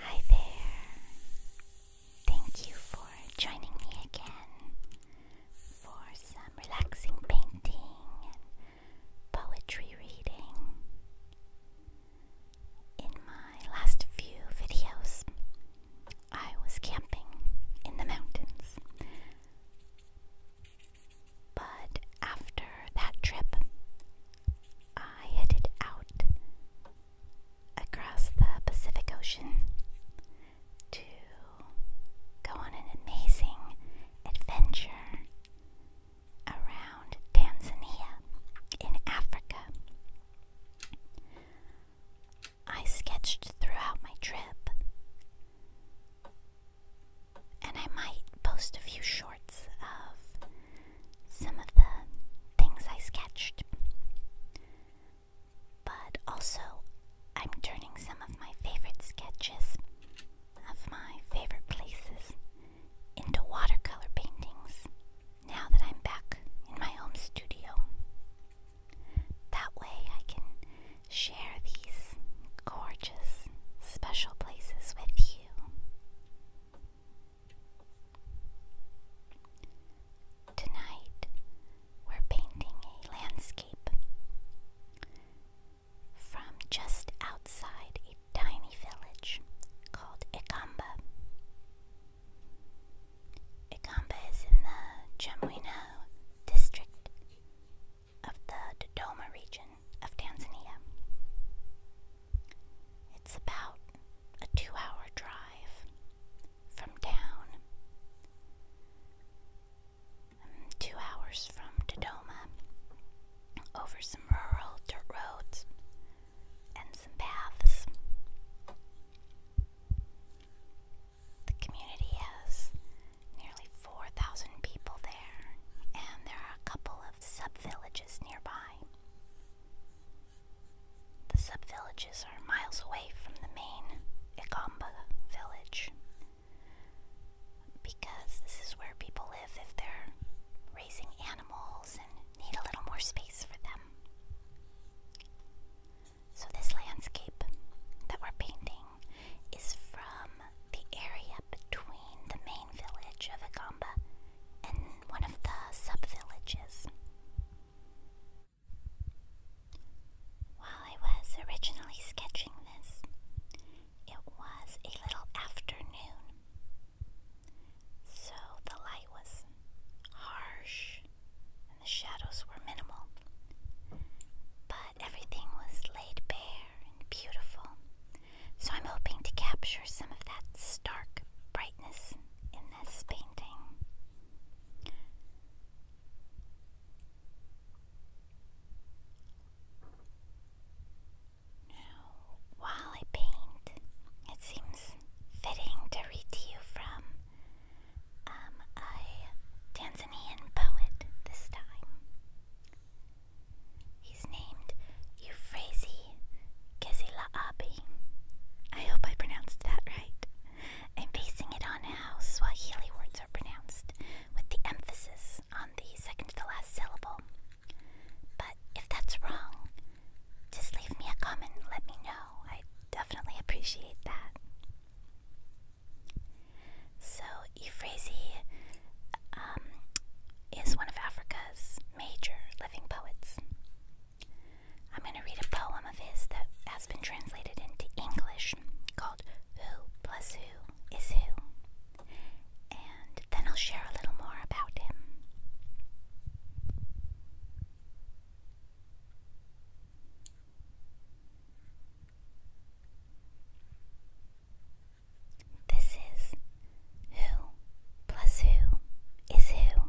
Hi there. Thank you for joining me again for some relaxing painting and poetry reading. In my last few videos, I was camping in the mountains. But after that trip, I headed out across the Pacific Ocean to go on an amazing adventure around Tanzania in Africa. I sketched throughout my trip and I might post a few shorts of some of the things I sketched. But also, I'm turning some of my favorite sketches of my favorite places into watercolor paintings now that I'm back in my home studio. That way, I can share these gorgeous, special places with you. Tonight, we're painting a landscape from just outside a tiny village called Ikamba. Ikamba is in the Jamwino district of the Dodoma region of Tanzania. It's about a two hour drive from town, um, two hours from Dodoma, over some rural dirt roads and some paths. The community has nearly 4,000 people there, and there are a couple of sub villages nearby. The sub villages are miles away from the main Igamba village because this is where people live if they're raising animals and need a little more space for them. So, this landscape that we're painting is from the area between the main village of Agamba and one of the sub villages. While I was originally sketching this, it was a little afternoon, so the light was harsh and the shadows were minimal. But everything was laid bare and beautiful, so I'm hoping to capture some of that stark brightness in this painting. Now, while I paint, it seems fitting to read to you from um, a Tanzanian poet this time. He's named Euphrasie Gezilaabi. I hope I pronounced that right. I'm basing it on house, while Swahili words are pronounced, with the emphasis on the second to the last syllable. But if that's wrong, just leave me a comment and let me know. I definitely appreciate that. So, Euphrasie um, is one of Africa's major living poets. I'm going to read a poem of his that has been translated into English called Who Plus Who Is Who, and then I'll share a little more about him. This is who plus who is who.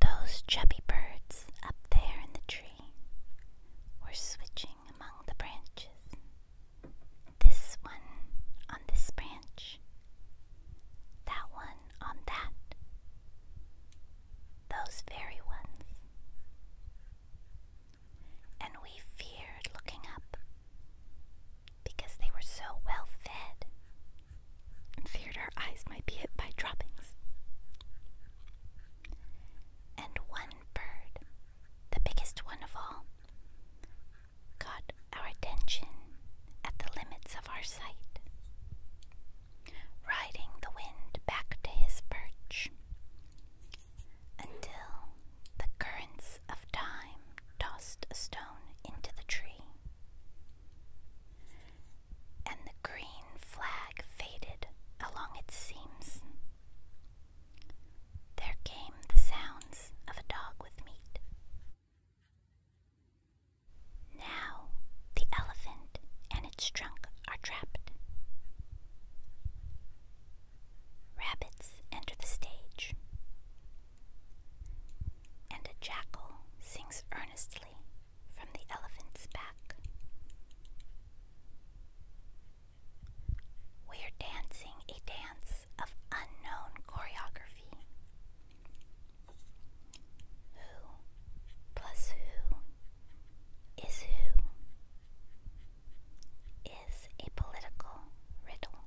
Those chubby birds up there in the tree were switching among the branches. This one on this branch, that one on that, those very ones. And we feared looking up because they were so well fed and feared our eyes might be hit by droppings. And one bird, the biggest one of all, caught our attention at the limits of our sight riding the wind back to his perch, until the currents of time tossed a stone into the tree, and the green flag faded along its seams. There came the sounds of a dog with meat. Now, the elephant and its trunk are trapped. Rabbits enter the stage, and a jackal sings earnestly from the elephant's back. We're dancing a dance of unknown choreography. Who plus who is who is a political riddle.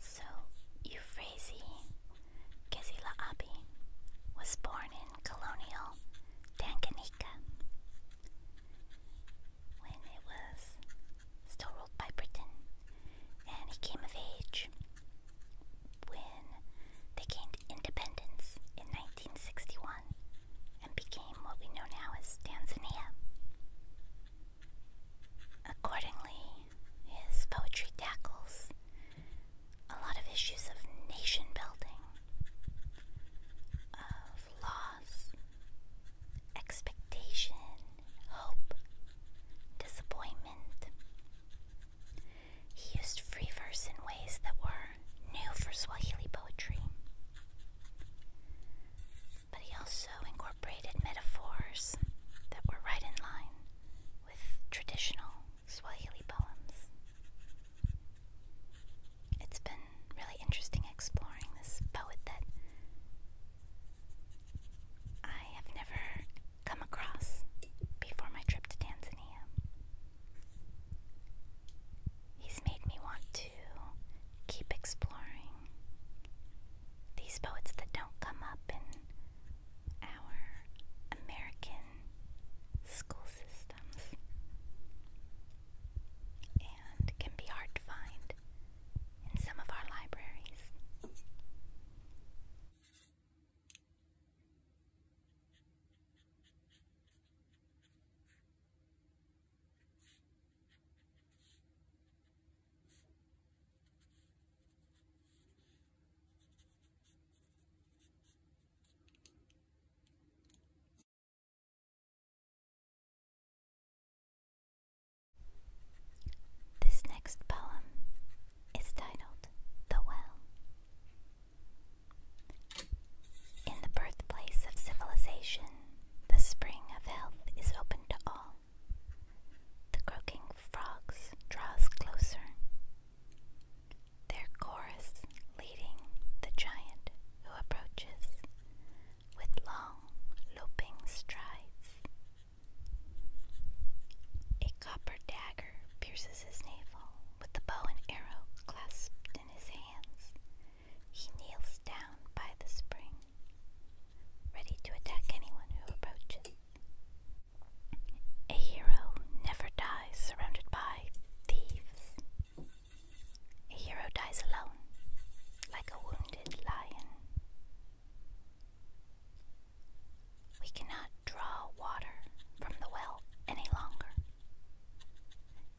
So, Euphrasie Kesilabi was born in colonial Tanganyika when it was still ruled by Britain, and he came of age when they gained independence in 1961 and became what we know now as Tanzania. Accordingly, his poetry tackles a lot of issues of nation building, of loss, expectation, hope, disappointment. He used free verse in ways that were new for Swahili poetry but he also incorporated metaphors that were right in line with traditional Swahili poems. It's been really interesting exploring this poet that I have never come across before my trip to Tanzania. He's made me want to keep exploring these poets that don't come up in our American school systems and can be hard to find in some of our libraries. This next poem is titled The Well. In the birthplace of civilization, the spring of health is open to all. The croaking frogs draws closer, their chorus leading the giant who approaches with long, loping strides. A copper dagger pierces his navel with the bow and arrow clasped in his hands. He kneels down by the spring ready to attack anyone who approaches. A hero never dies surrounded by thieves. A hero dies alone, like a wounded lion. We cannot draw water from the well any longer,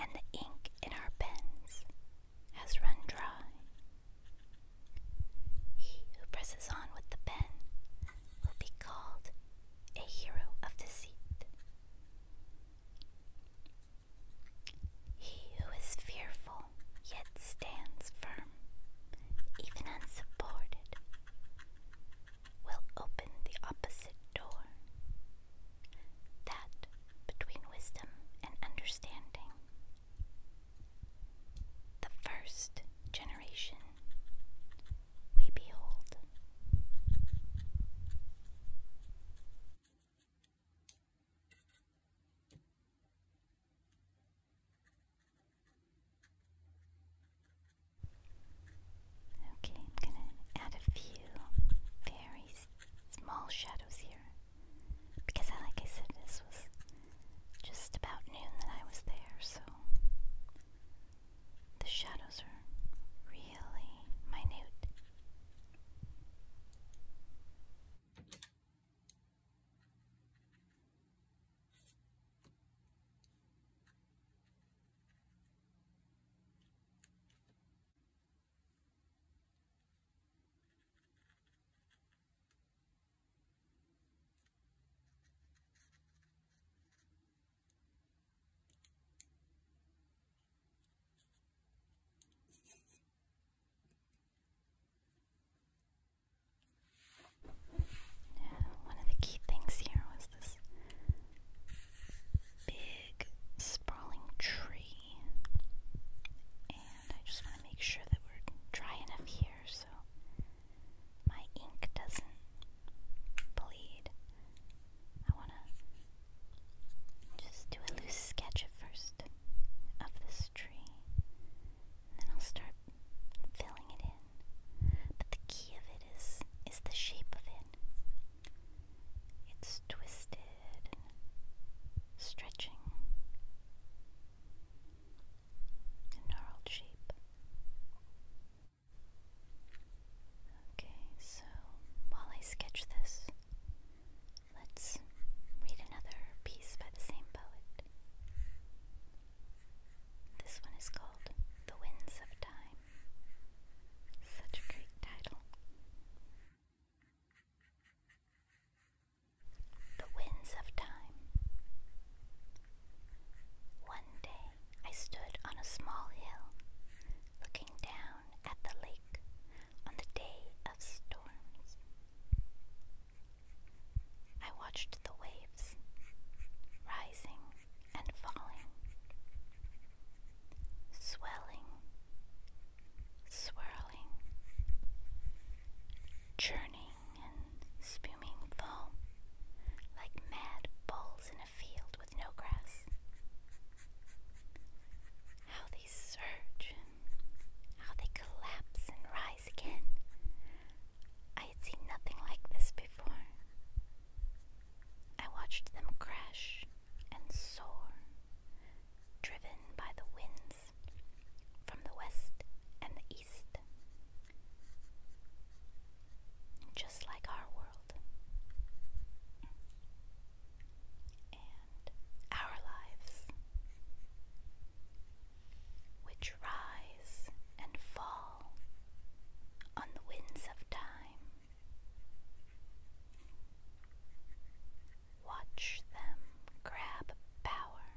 and the ink in our pens has run dry. He who presses on with the pen will be called a hero of deceit. He who is fearful yet stands firm, even unsupported, will open the opposite door. That between wisdom and understanding the first generation we behold. Okay, I'm going to add a few very small shadows here. Because, like I said, this was just about noon that I was there, so the shadows are really minute. One of the key things here was this big sprawling tree and I just want to make sure that we're dry enough here so my ink doesn't bleed. I want to just do a loose sketch first of this tree. And then I'll start filling it in. But the key of it is is the shape of it. It's twisted stretching a gnarled sheep. Okay, so while I sketch this, let's read another piece by the same poet. This one is called The Winds of Time. Such a great title. The Winds of Time. One day I stood on a small hill, looking down at the lake on the day of storms. I watched the waves rising and falling, swelling swirling, churning and spuming foam like mad bulls in a field with no grass. How they surge, how they collapse and rise again. I had seen nothing like this before. I watched them crash and soar, driven by the winds from the west and the east, just like our world. And our lives, which rise and fall on the winds of time. Watch them grab power.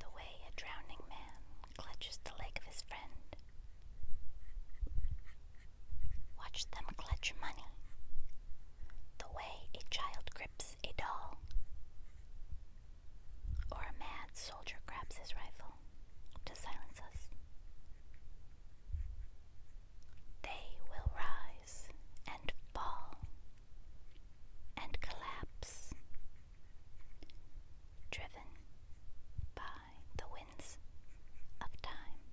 The way a drowning man clutches the leg of his friend. Watch them clutch money. The way a child grips a doll. Or a mad soldier grabs his rifle to silence us. They will rise and fall and collapse, driven by the winds of time.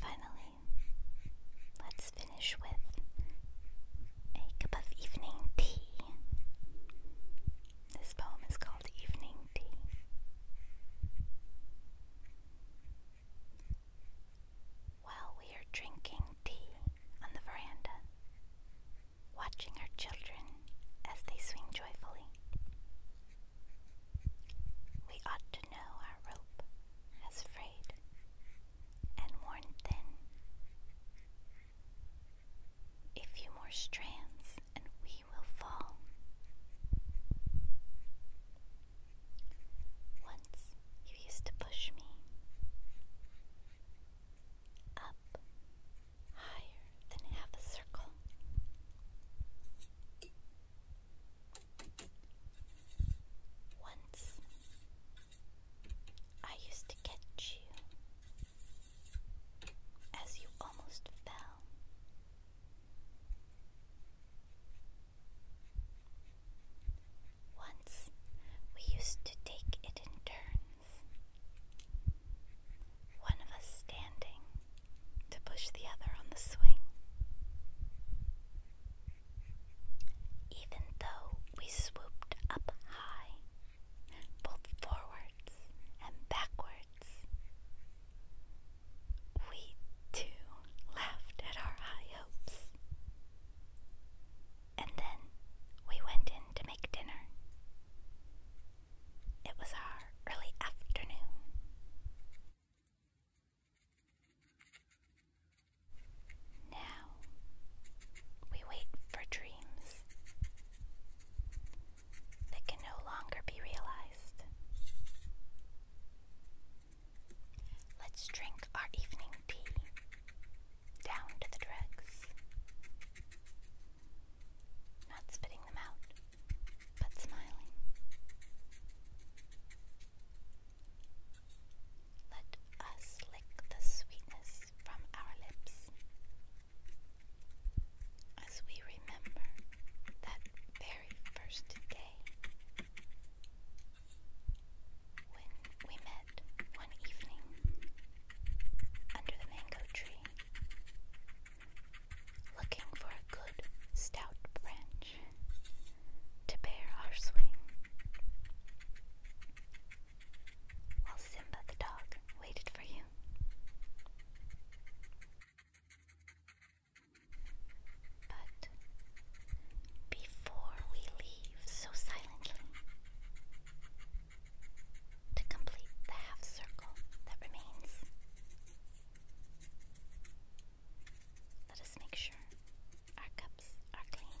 Finally, let's finish with a cup of evening tea. This poem is called Evening Tea. While we are drinking tea on the veranda, watching our children as they swing joyfully, we ought to know our rope as frayed and worn thin. A few more strands and we will fall. Once you used to push me up higher than half a circle. Once I used to catch you as you almost fell. Once we used to take it in turns, one of us standing to push the other on the swing. Even though we swooped up high, both forwards and backwards, we too laughed at our high hopes. And then we went in to make dinner. It was our early afternoon. Now we wait for dreams that can no longer be realized. Let's drink our evening tea down to the dregs, not spitting them out but smiling. Let us lick the sweetness from our lips as we remember that very first day when we met one evening under the mango tree looking for a good stout branch to bear our swing, while Simba the dog waited for you. But before we leave so silently, to complete the half circle that remains, let us make sure our cups are clean.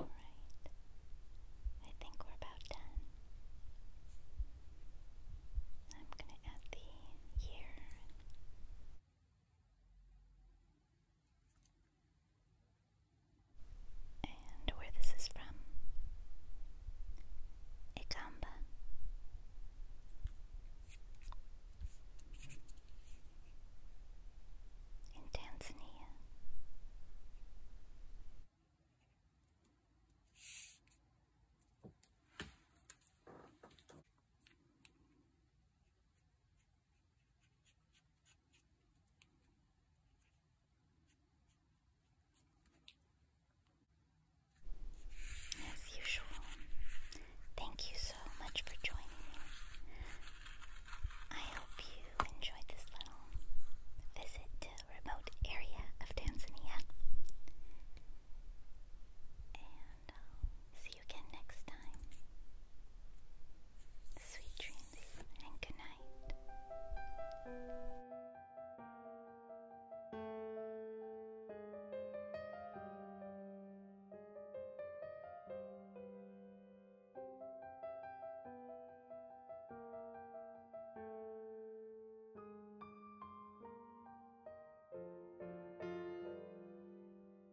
All right. I think we're about done. I'm going to add the year and where this is from. Ikamba. In Tanzania. As usual, thank you so much for joining me. I hope you enjoyed this little visit to a remote area of Tanzania. Um, see you again next time. Sweet dreams and good